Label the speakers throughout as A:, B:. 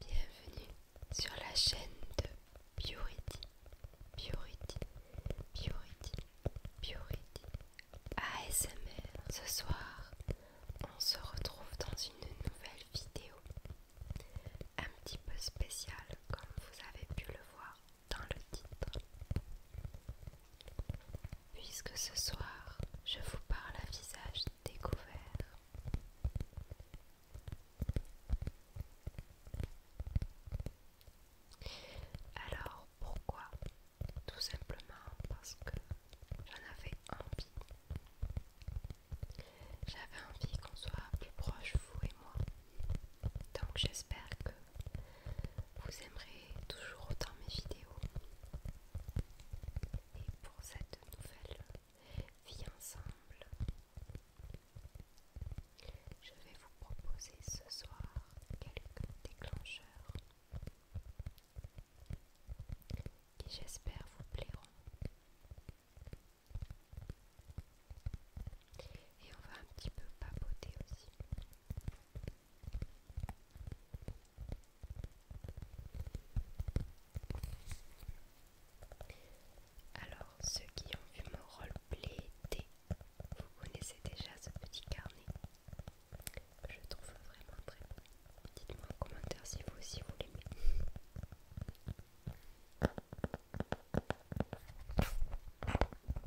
A: Bienvenue sur la chaîne de Purity, Purity, Purity. Purity ASMR. Ce soir, on se retrouve dans une nouvelle vidéo un petit peu spéciale, comme vous avez pu le voir dans le titre puisque ce soir je vous parle à visage découvert. Alors pourquoi Tout simplement parce que j'en avais envie. J'avais envie qu'on soit plus proche, vous et moi. Donc j'espère que vous aimerez toujours autant mes vidéos. Et pour cette nouvelle vie ensemble, je vais vous proposer ce soir quelques déclencheurs qui j'espère vous plairont. Et on va un petit peu papoter aussi. Alors, ceux qui ont vu mon roleplay vous connaissez déjà ce petit carnet. Je trouve vraiment très bon. Dites-moi en commentaire si vous aussi vous l'aimez.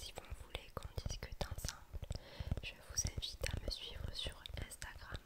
A: Si vous voulez qu'on discute ensemble, je vous invite à me suivre sur Instagram.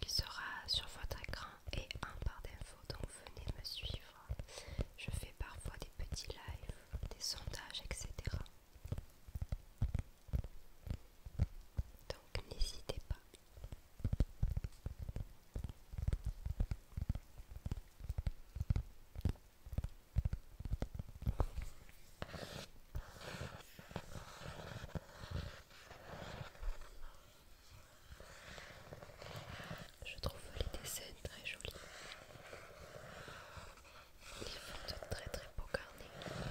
A: Il sera sur votre écran et en barre d'infos, donc venez me suivre. Je fais parfois des petits lives, des sondages, etc. Donc n'hésitez pas. Je trouve les dessins très jolis. Ils font de très très beaux carnets.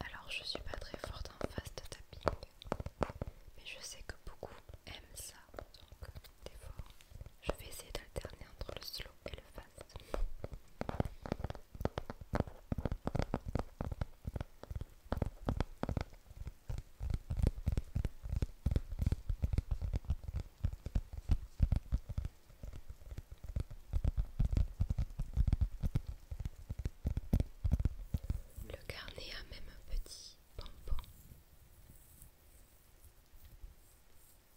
A: Alors je suis pas très forte en de tapping, mais je sais que beaucoup aiment ça, donc des fois je vais essayer d'alterner entre le slow et le fast. Le carnet a même un petit pompon.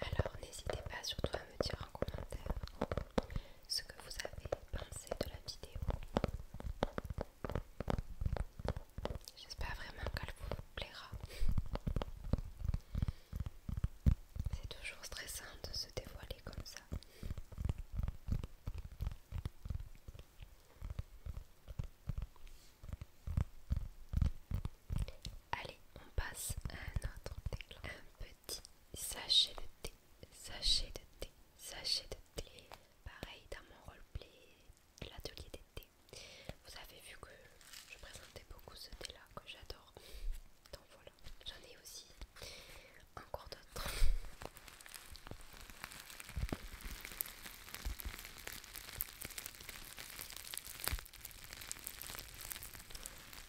A: Alors n'hésitez pas surtout à me dire en commentaire ce que vous avez pensé de la vidéo. J'espère vraiment qu'elle vous plaira. C'est toujours stressant de se dévoiler comme ça. Allez, on passe à un autre déclin. Un petit sachet de thé, sachet de thé, sachet de thé. Pareil dans mon roleplay de l'atelier d'été, vous avez vu que je présentais beaucoup ce thé là que j'adore. Donc voilà, j'en ai aussi encore d'autres.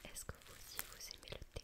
A: Est-ce que vous aussi vous aimez le thé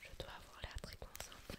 A: Je dois avoir l'air très concentré.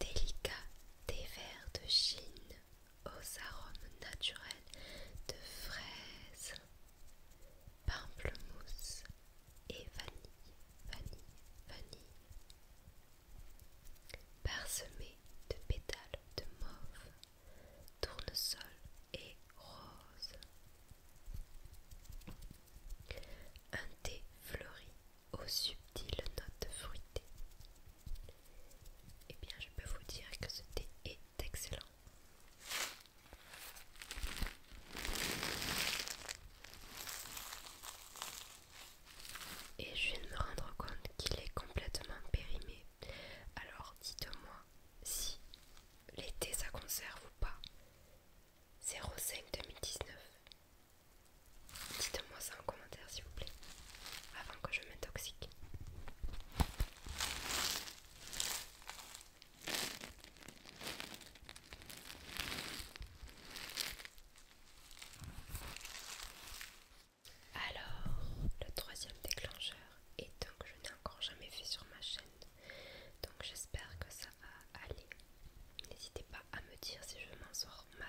A: Délicat des verres de Chine aux arômes naturels de fraises, pamplemousse et vanille, vanille, vanille, parsemé de pétales de mauve tournesol et rose. Un thé fleuri aux subtiles notes fruitées. Et eh bien, je peux vous dire que ce thé est excellent. Et je viens de me rendre compte qu'il est complètement périmé alors dites-moi si l'été ça conserve ou pas. 05 2019. Dites-moi ça en commentaire s'il vous plaît, avant que je m'intoxique. Alors, le troisième déclencheur est donc que je n'ai encore jamais fait sur ma chaîne. Donc j'espère que ça va aller. N'hésitez pas à me dire si je m'en sors mal.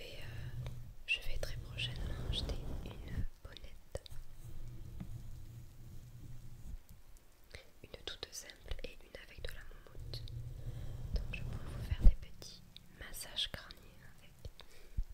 A: Euh, je vais, très prochainement acheter une bonnette, une toute simple et une avec de la moumoute. Donc je pourrais vous faire des petits massages crâniens avec.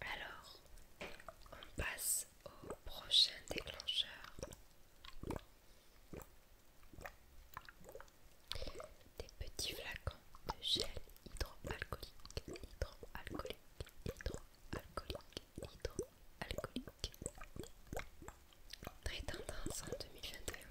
A: Alors, on passe au prochain déclencheur. Des petits flacons de gel hydroalcoolique, hydroalcoolique, hydroalcoolique, hydroalcoolique. Très tendance en 2021.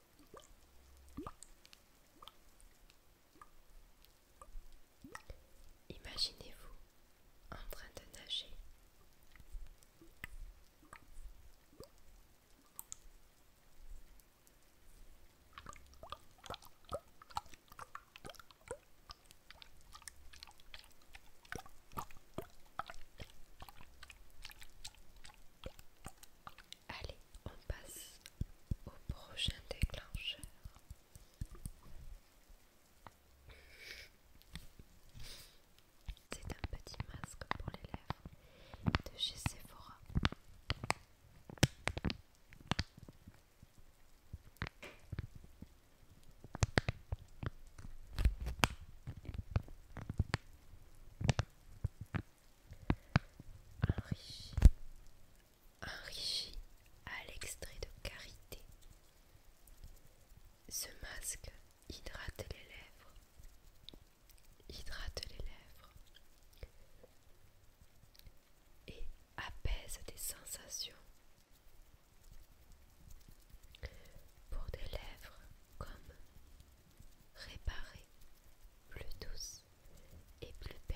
A: Imaginez-vous en train de nager. Allez, on passe au prochain déclencheur. C'est un petit masque pour les lèvres de chez Sephora enrichi, enrichi à l'extrait de carité, Ce masque hydrate les lèvres, hydrate les lèvres et apaise des sensations pour des lèvres comme réparer plus douce et plus belle.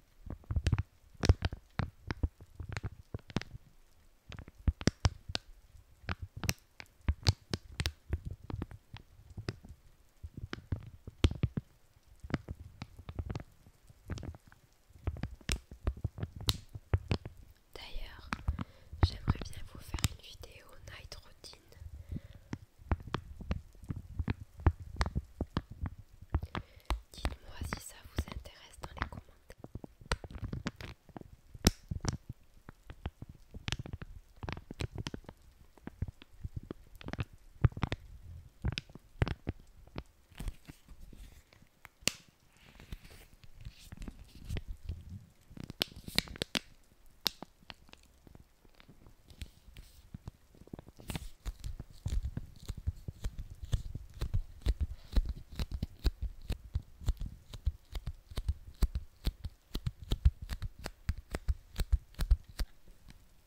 A: D'ailleurs, j'aimerais bien vous faire une vidéo night routine Dites-moi si ça vous intéresse dans les commentaires.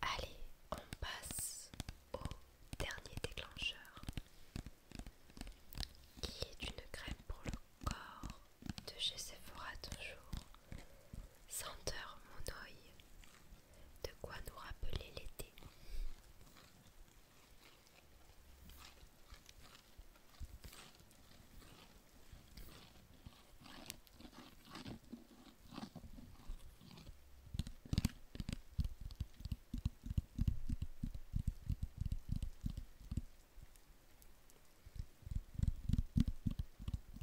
A: Allez, on passe au dernier déclencheur qui est une crème pour le corps de chez Sephora toujours. Senteur mon de quoi nous rappeler l'été.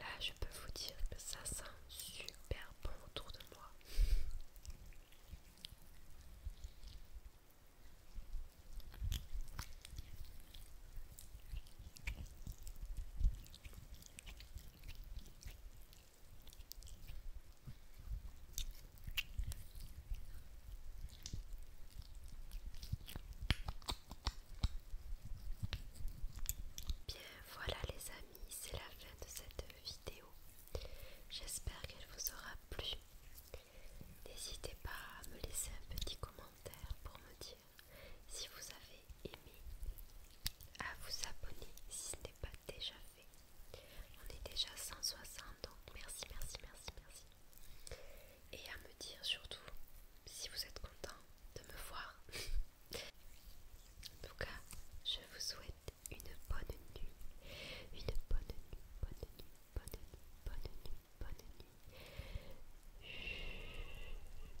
A: Là, je peux vous dire que ça sent super bon autour de moi. Bien voilà les amis, c'est la fin de cette vidéo. J'espère qu'elle vous aura plu. N'hésitez pas à me laisser un petit commentaire pour me dire si vous avez aimé, à vous abonner si ce n'est pas déjà fait. On est déjà 160, donc merci, merci, merci, merci. Et à me dire surtout si vous êtes content de me voir. en tout cas, je vous souhaite une bonne nuit. Une bonne nuit, bonne nuit, bonne nuit, bonne nuit. Bonne nuit.